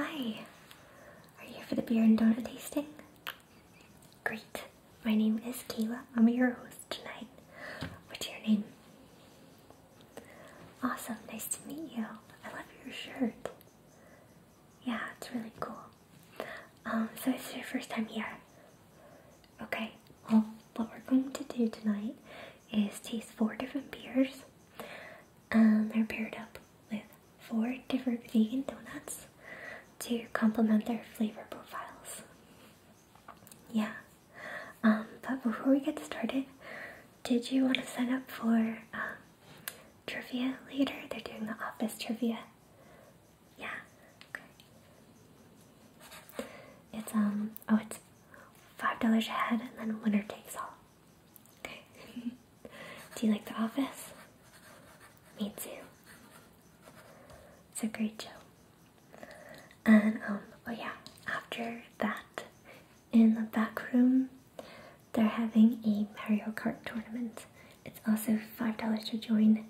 Hi, are you here for the beer and donut tasting? Great, my name is Kayla. I'm your host tonight. What's your name? Awesome, nice to meet you. I love your shirt. Yeah, it's really cool. Um, so it's your first time here. Okay, well, what we're going to do tonight is taste four different beers. And um, they're paired up with four different vegan donuts to complement their flavor profiles. Yeah. Um, but before we get started, did you want to sign up for uh, trivia later. They're doing the office trivia. Yeah. It's um oh it's five dollars ahead, and then winner takes all. Okay. Do you like the office? Me too. It's a great show. And um oh yeah, after that in the back room they're having a Mario Kart tournament. It's also $5 to join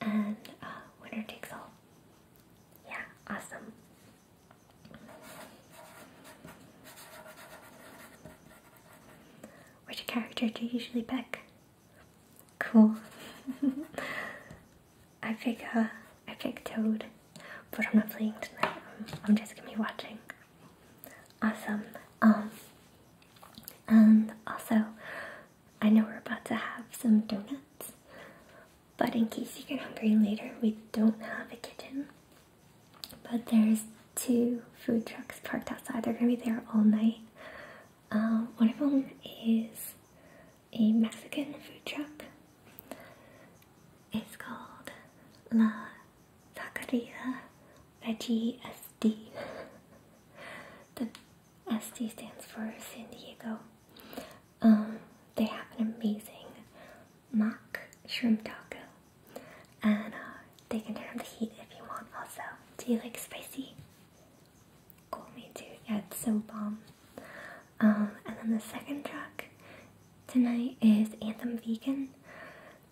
and uh, winner takes all. Yeah, awesome. Which character do you usually pick? Cool. I pick uh, I pick Toad, but I'm not playing tonight. I'm just gonna be watching. Awesome. Um, and also, I know we're about to have some donuts, but in case you get hungry later, we don't have a kitchen. But there's two food trucks parked outside. They're gonna be there all night. Um, one of them is a Mexican food truck. It's called La Taqueria my GSD. the SD stands for San Diego. Um, they have an amazing mock shrimp taco, and uh, they can turn up the heat if you want. Also, do you like spicy? Cool, me too. Yeah, it's so bomb. Um, and then the second truck tonight is Anthem Vegan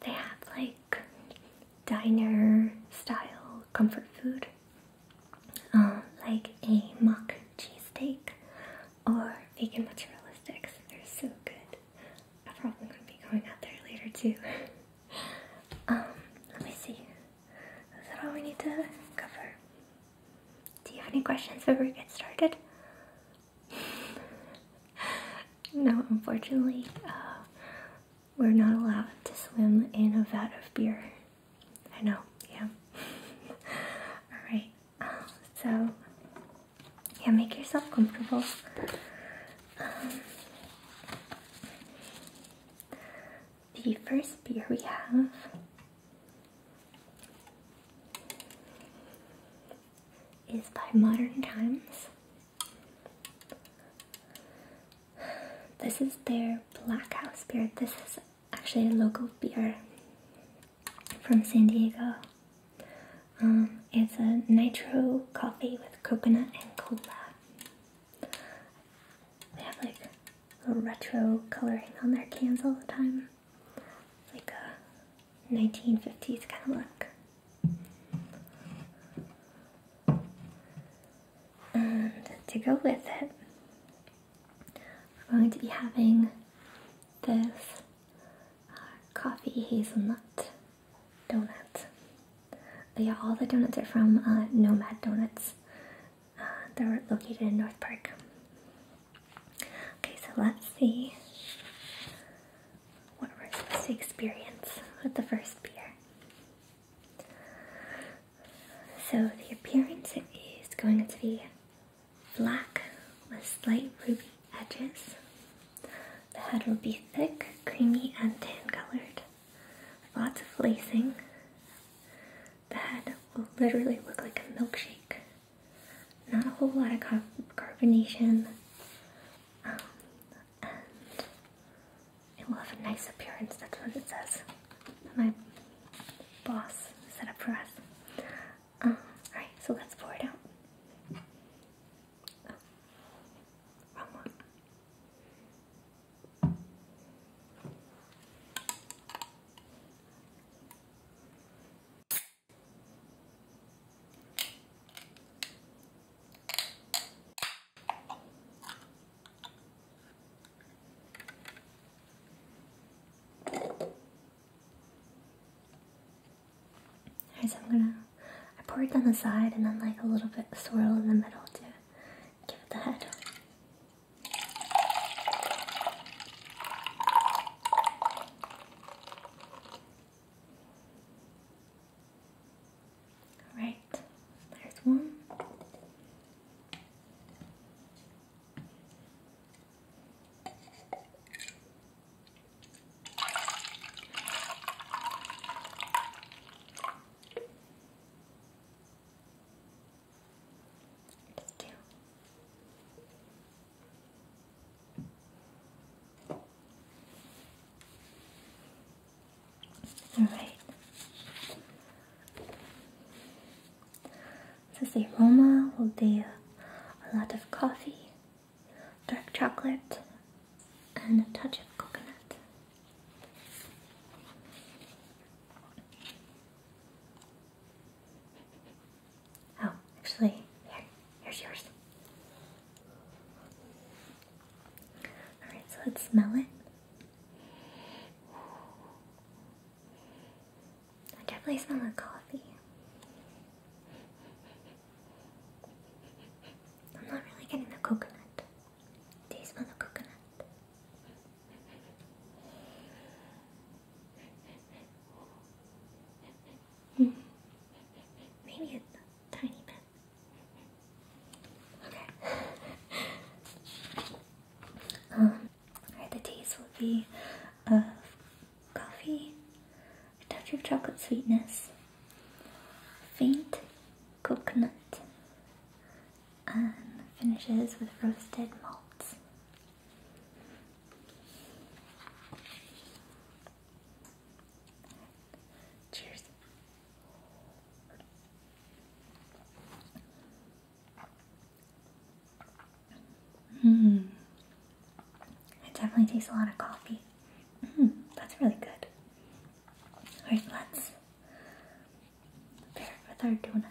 they have like diner style comfort food, um, like a mock cheesesteak or vegan mozzarella sticks. They're so good. I'm probably gonna be going out there later too. um, let me see. Is that all we need to cover? Do you have any questions before we get started? no, unfortunately, uh, we're not allowed to swim in a vat of beer. I know, yeah. Alright, so yeah, make yourself comfortable. Um, the first beer we have is by Modern Times. This is their Black House beer. This is actually a local beer from San Diego. Um, it's a nitro coffee with coconut and cola. They have like retro coloring on their cans all the time. like a 1950s kind of look. And to go with it, we're going to be having this uh, coffee hazelnut donut. yeah, all the donuts are from uh, Nomad Donuts. Uh, they're located in North Park. Okay, so let's see what we're supposed to experience with the first beer. So the appearance is going to be black with slight ruby edges. The head will be thick, creamy, and tan colored. Lots of lacing. The head will literally look like a milkshake. Not a whole lot of carbonation. Um, it will have a nice appearance. That's what it says. My boss set up for us. Um, all right, so let's pour it out. Alright, I'm gonna I pour it down the side and then like a little bit swirl in the middle to give it Alright, there's one. There's two. All right. So the aroma will be a lot of coffee, dark chocolate, and a touch of coconut. Oh, actually, here, here's yours. Alright, so let's smell it. I definitely smell the coffee. I'm not really getting the coconut. Do you smell the coconut? Hmm. Maybe a tiny bit. Okay. um, the taste will be of uh, coffee, a touch of chocolate sweetness, faint coconut, and finishes with roasted malts. Cheers. Mm. It definitely tastes a lot of coffee. Mm, that's really good. Alright, let's pair it with our donut.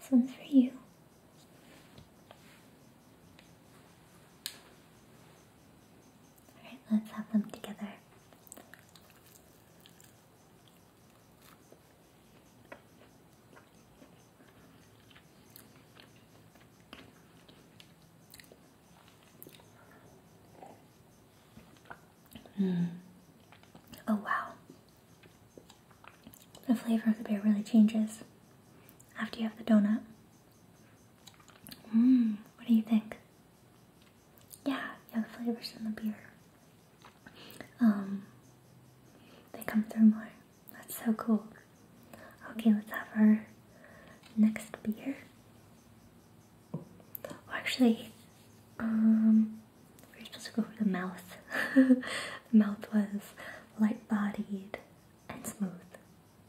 this one's for you. Alright, let's have them together. Mm. Oh wow. The flavor of the beer really changes after you have the donut. Mmm, what do you think? Yeah, yeah, the flavors in the beer. Um, they come through more. That's so cool. Okay, let's have our next beer. Oh, actually, um, we're supposed to go for the mouth. mouth was light bodied, and smooth.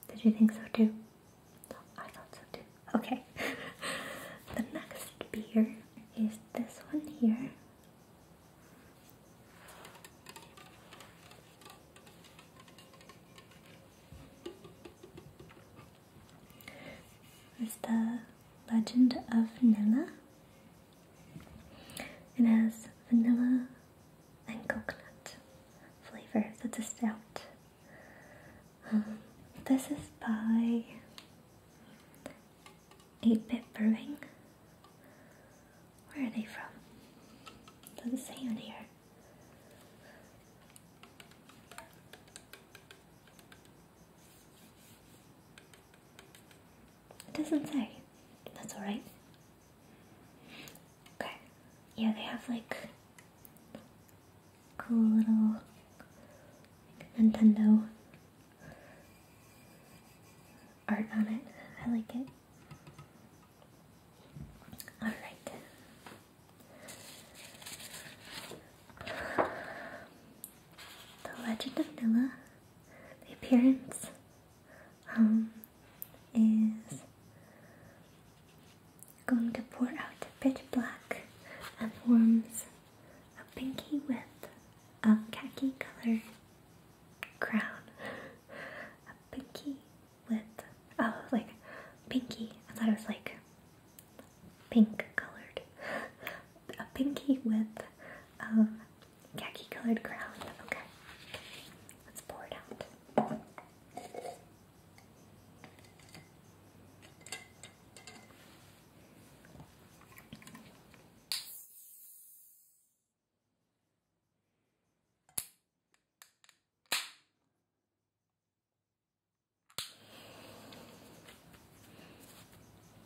Did you think so too? I thought so too. Okay. the next beer is this one here. Is the Legend of Nana it has vanilla and coconut flavors. That's a stout. Um, this is by 8-Bit Brewing. Where are they from? Doesn't say on here. It doesn't say. That's alright. Okay. Yeah, they have like cool little Nintendo art on it. I like it. Alright. The Legend of Nilla, The Appearance um, is going to pour out a bit black and forms a pinky with a khaki color crown. A pinky with, oh, like pinky. I thought it was like pink colored. A pinky with um, khaki colored crown. Okay, let's pour it out.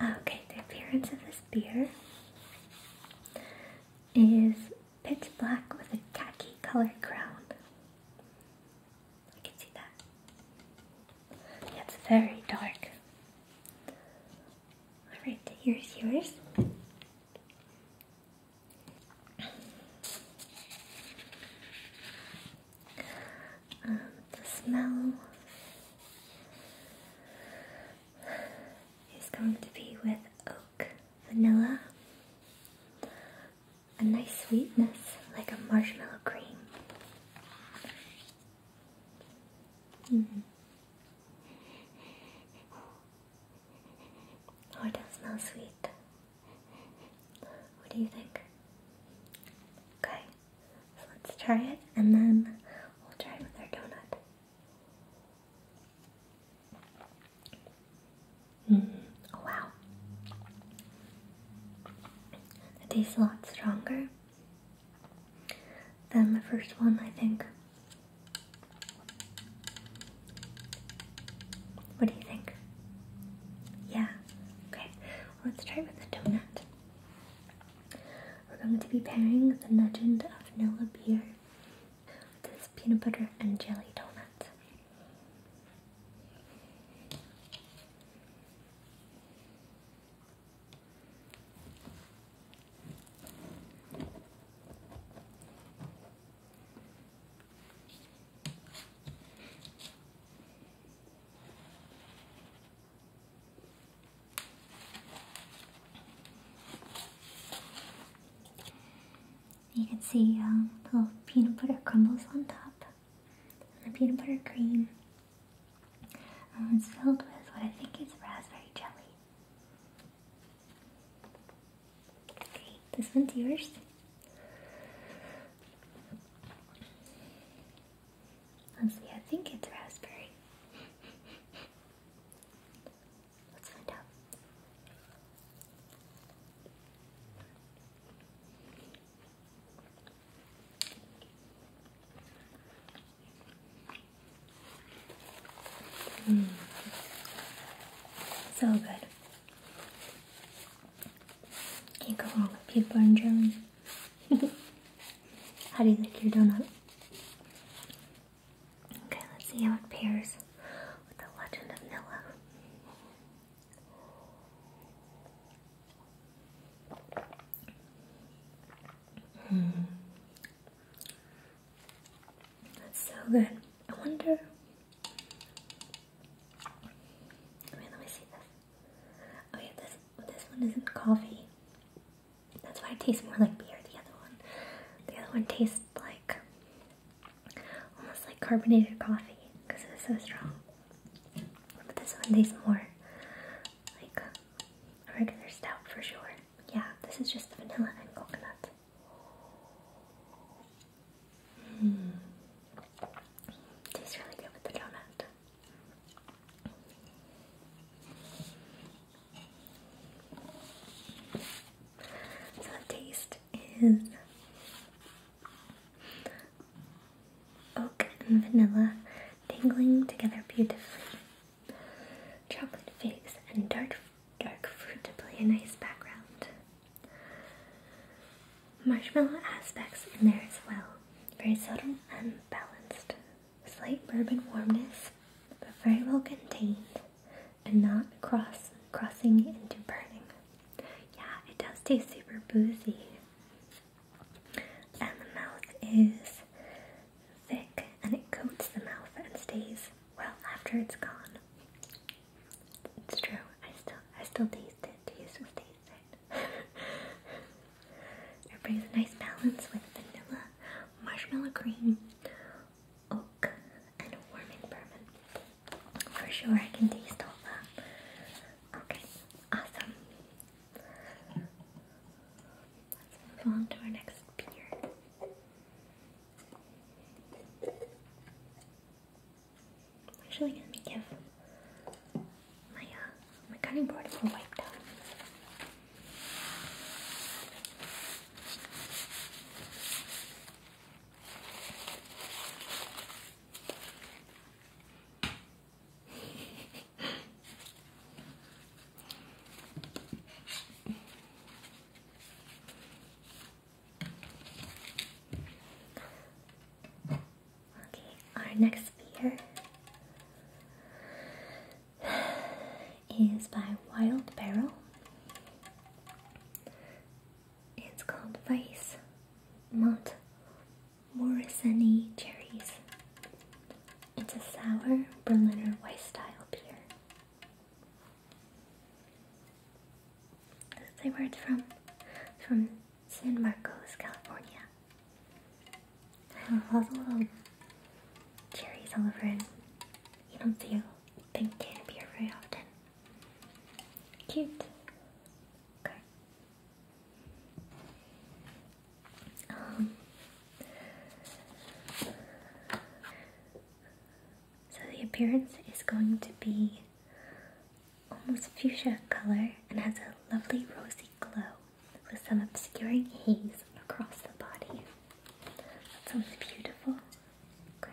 Okay, the appearance of this beer is pitch black with a khaki color crown. I can see that. It's very dark. Alright, here's yours. Um, the smell is going to be with oak vanilla, a nice sweetness like a marshmallow cream. -hmm. Oh, it does sweet. What do you think? Okay, so let's try it and then we'll try it with our donut. -hmm. wow, it tastes a lot stronger than the first one, I think. What do you think? Yeah, okay, let's try with the donut. We're going to be pairing the legend of Nilla beer this peanut butter and jelly donut. You can see um, little peanut butter crumbles on top. And the peanut butter cream um, is filled with what I think is raspberry jelly. Okay, this one's yours. Let's see, I think it's raspberry. So good. Can't go wrong with people in Germany. How do you like your donut? Okay, let's see how it pairs with the Legend of Nila. Hmm. That's so good. I wonder. Wait, let me see this. Oh this this one isn't coffee. That's why it tastes more like beer. The other one, the other one tastes like almost like carbonated coffee because it's so strong. But this one tastes more like a regular stout for sure. Yeah, this is just vanilla and coconut. Mm. Tastes really good with the donut. So the taste is oak and vanilla tingling together beautifully. Chocolate figs and dark dark fruit to play a nice background. Marshmallow aspects in there as well. Very subtle and balanced. Slight bourbon warmness, but very well contained and not cross crossing into burning. Yeah, it does taste super boozy. And the mouth is thick and it coats the mouth and stays well after it's gone. It's true. I still I still taste it. You still taste it. it brings a nice balance with vanilla, marshmallow cream, oak, and warming bourbon. For sure, I can taste all that. Okay, awesome. Let's move on to our next beer. I'm actually gonna give my uh, my cutting board a little wipe Okay, our next beer is by Wild Barrel. It's called Vice Mont Morrisoni Cherries. It's a sour Berliner Weiss style beer. Does it say where it's from? from San Marcos, California. I love all the little cherries all over it. You don't see they can very often. Cute. Okay. Um, so the appearance is going to be almost fuchsia color and has a lovely rosy glow with some obscuring haze across the body. That sounds beautiful. Okay.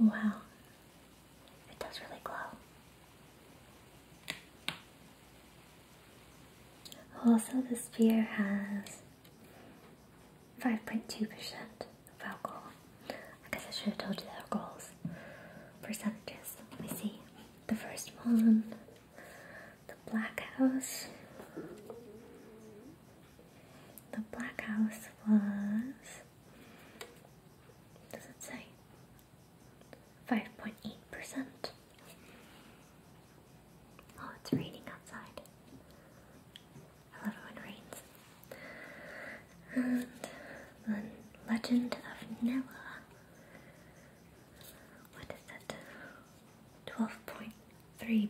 Wow, it does really glow. Also, this sphere has 5.2% of alcohol. I guess I should have told you that the alcohols percentages. Let me see. The first one, the Black House, the black house was does it say? Five point eight percent. Oh, it's raining outside. I love it when it rains. And then Legend of Nella. What is that? Twelve point 3%.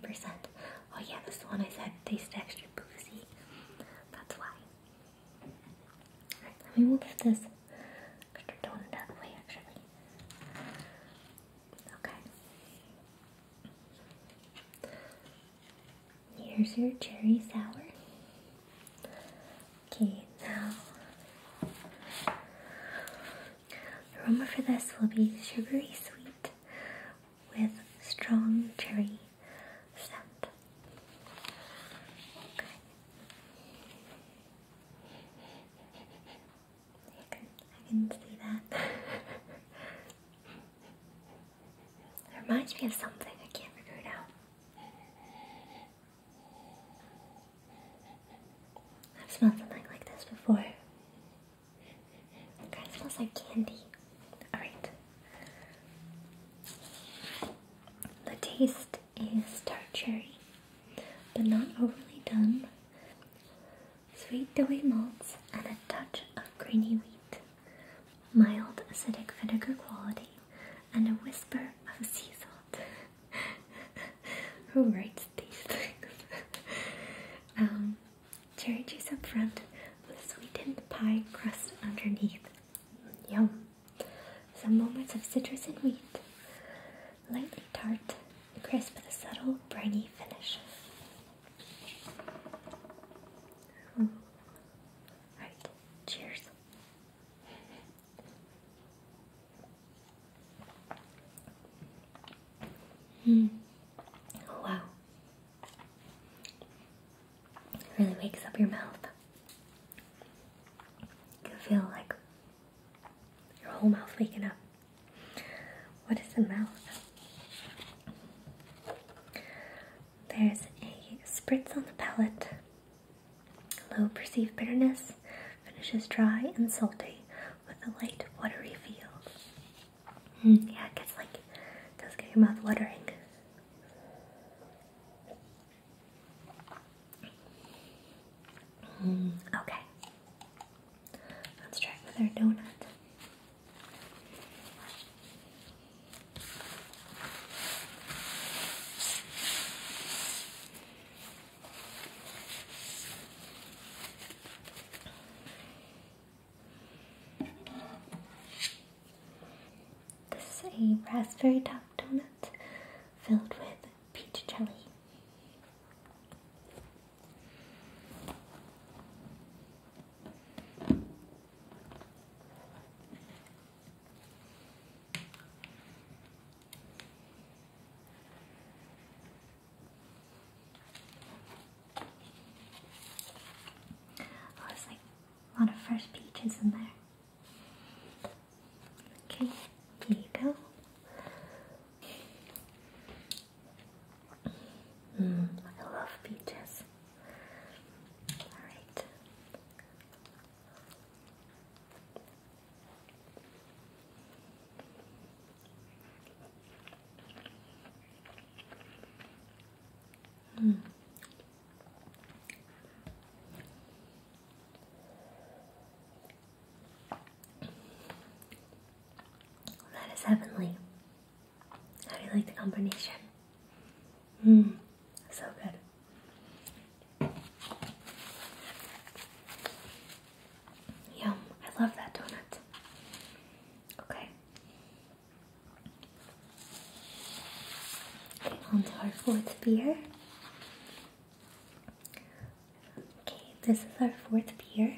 Oh yeah, this one I said tasted extra boozy. That's why. let me move this extra donut that way actually. Okay. Here's your cherry sour. Okay, now the aroma for this will be sugary sweet with strong cherry scent. Okay. I can, see that. reminds me of something, I can't figure it out. I've smelled something like this before. It kind of smells like candy. Alright. The taste is tart cherry, but not overly done. Sweet doughy malts and a touch of grainy wheat. Mild acidic vinegar quality and a whisper of sea salt. Who writes these things? Um, Cherry juice up front with sweetened pie crust underneath. Yum! Some moments of citrus and wheat. Lightly tart, crisp with a subtle, briny finish. Right, cheers. Mm. Wow, it really wakes up your mouth. You feel like your whole mouth waking up. What is the mouth? There's a spritz on the palate. Low perceived bitterness finishes dry and salty with a light watery feel. Hmm, yeah, it gets like, does get your mouth watering. Hmm, okay. Let's try with our donut. This is a raspberry top donut filled with peach jelly. Oh, it's like a lot of fresh peaches in there. Okay, here you go. Mm, I love peaches. Alright. Mm. That is heavenly. How do you like the combination? Mmm, so good. Yum, I love that donut. Okay, on to our fourth beer. Okay, this is our fourth beer.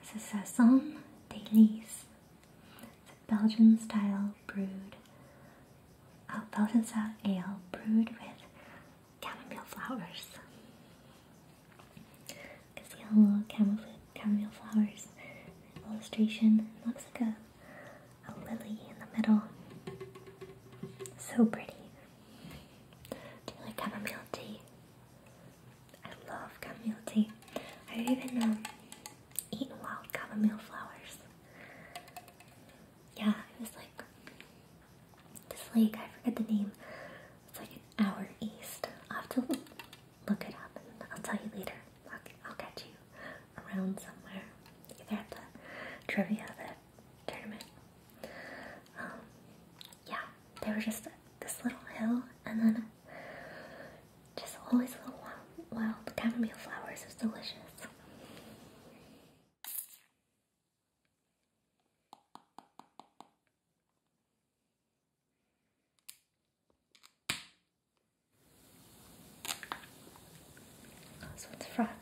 This is Saison Dailies Belgian style brewed, uh, Belgian style ale brewed with chamomile flowers. can see a little chamomile, chamomile flowers illustration. looks like a, a lily in the middle. So pretty. Do you like chamomile tea? I love chamomile tea. I even um, eat wild chamomile flowers. Yeah, it was like this lake, I forget the name. It's like an hour east. I'll have to look it up and I'll tell you later. I'll, catch you around somewhere, either at the trivia, the tournament. Um, yeah, there was just this little hill and then just always a little wild, The chamomile flowers is delicious. Oh, so frothy.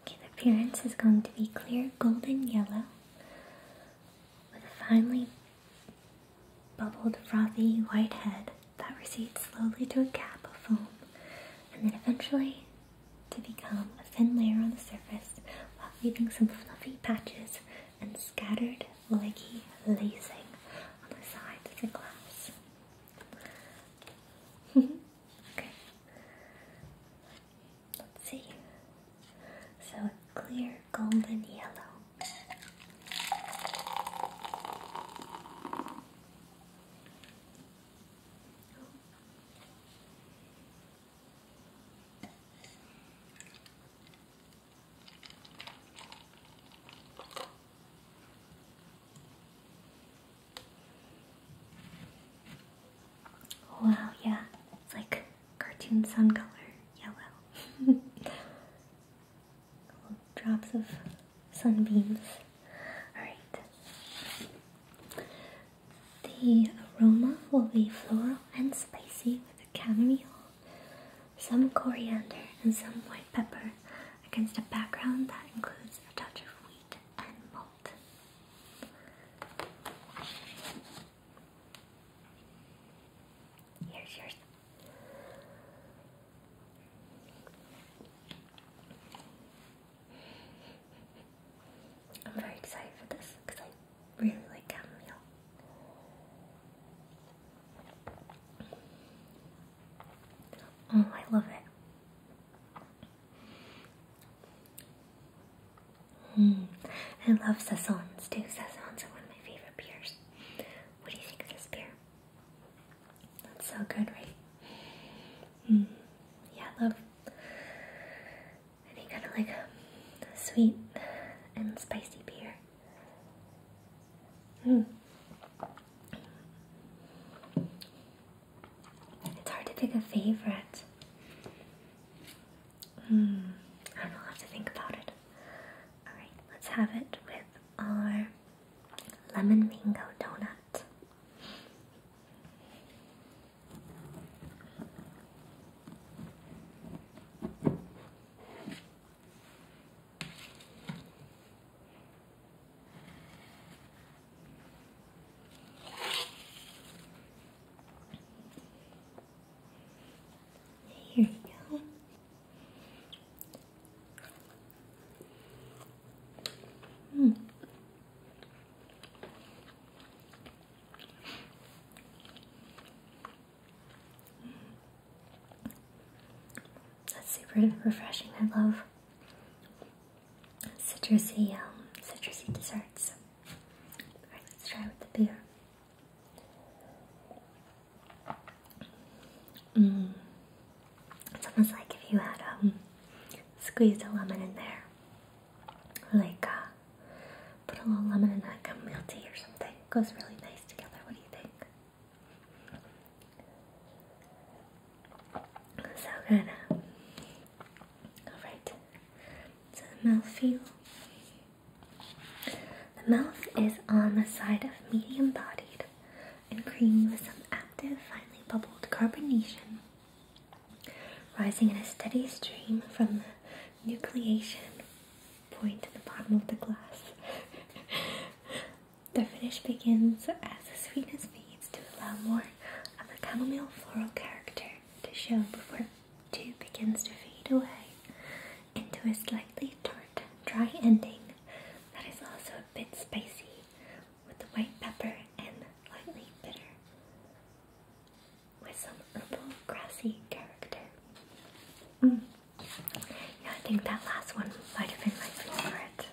Okay, the appearance is going to be clear golden yellow with a finely bubbled, frothy white head that recedes slowly to a cap of foam and then eventually to become a thin layer on the surface while leaving some fluffy patches and scattered leggy lacing on the sides of the glass. okay. Let's see. So clear golden yellow. Wow, yeah, it's like cartoon sun color yellow. drops of sunbeams. Alright. The aroma will be floral and spicy with a chamomile, some coriander, and some white pepper against a background that includes a touch of wheat and malt. Here's yours. I'm very excited for this because I really like chamomile. Oh, I love it. Mm. I love Saisons too. Saisons are one of my favorite beers. What do you think of this beer? That's so good, right? Hmm. Yeah, I love any kind of like sweet and spicy beer. Hmm. It's hard to pick a favorite. Hmm. I don't know, i to think about it. Alright, let's have it with our lemon mango donut. Here we go. Mm. That's super refreshing. I love citrusy, um, citrusy desserts. Alright, let's try with the beer. Mm. It's almost like if you had um, squeezed a lemon in there, like uh, put a little lemon in that chamomile tea or something. goes really nice together. What do you think? So good. All right. So the mouthfeel the mouth is on the side of medium bodied and creamy with some active, finely bubbled carbonation rising in a steady stream from the nucleation point at the bottom of the glass. the finish begins as the sweetness fades to allow more of the chamomile floral character to show before it too begins to fade away into a slightly tart, dry ending that is also a bit spicy with white pepper and lightly bitter with some herbal grassy character. Mm. Yeah, I think that last one might have been my favorite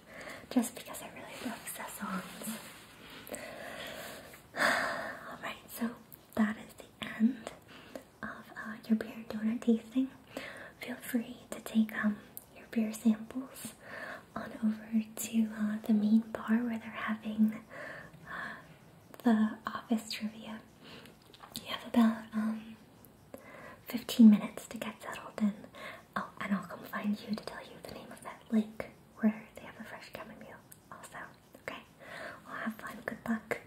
just because I really love saisons. Alright, so that is the end of uh, your beer donut tasting, feel free to take um, your beer samples on over to uh, the main bar where they're having uh, the office trivia. You have about um, 15 minutes to get settled in. Oh, and I'll come find you to tell you the name of that lake where they have a fresh meal. also. Okay? Well, have fun. Good luck.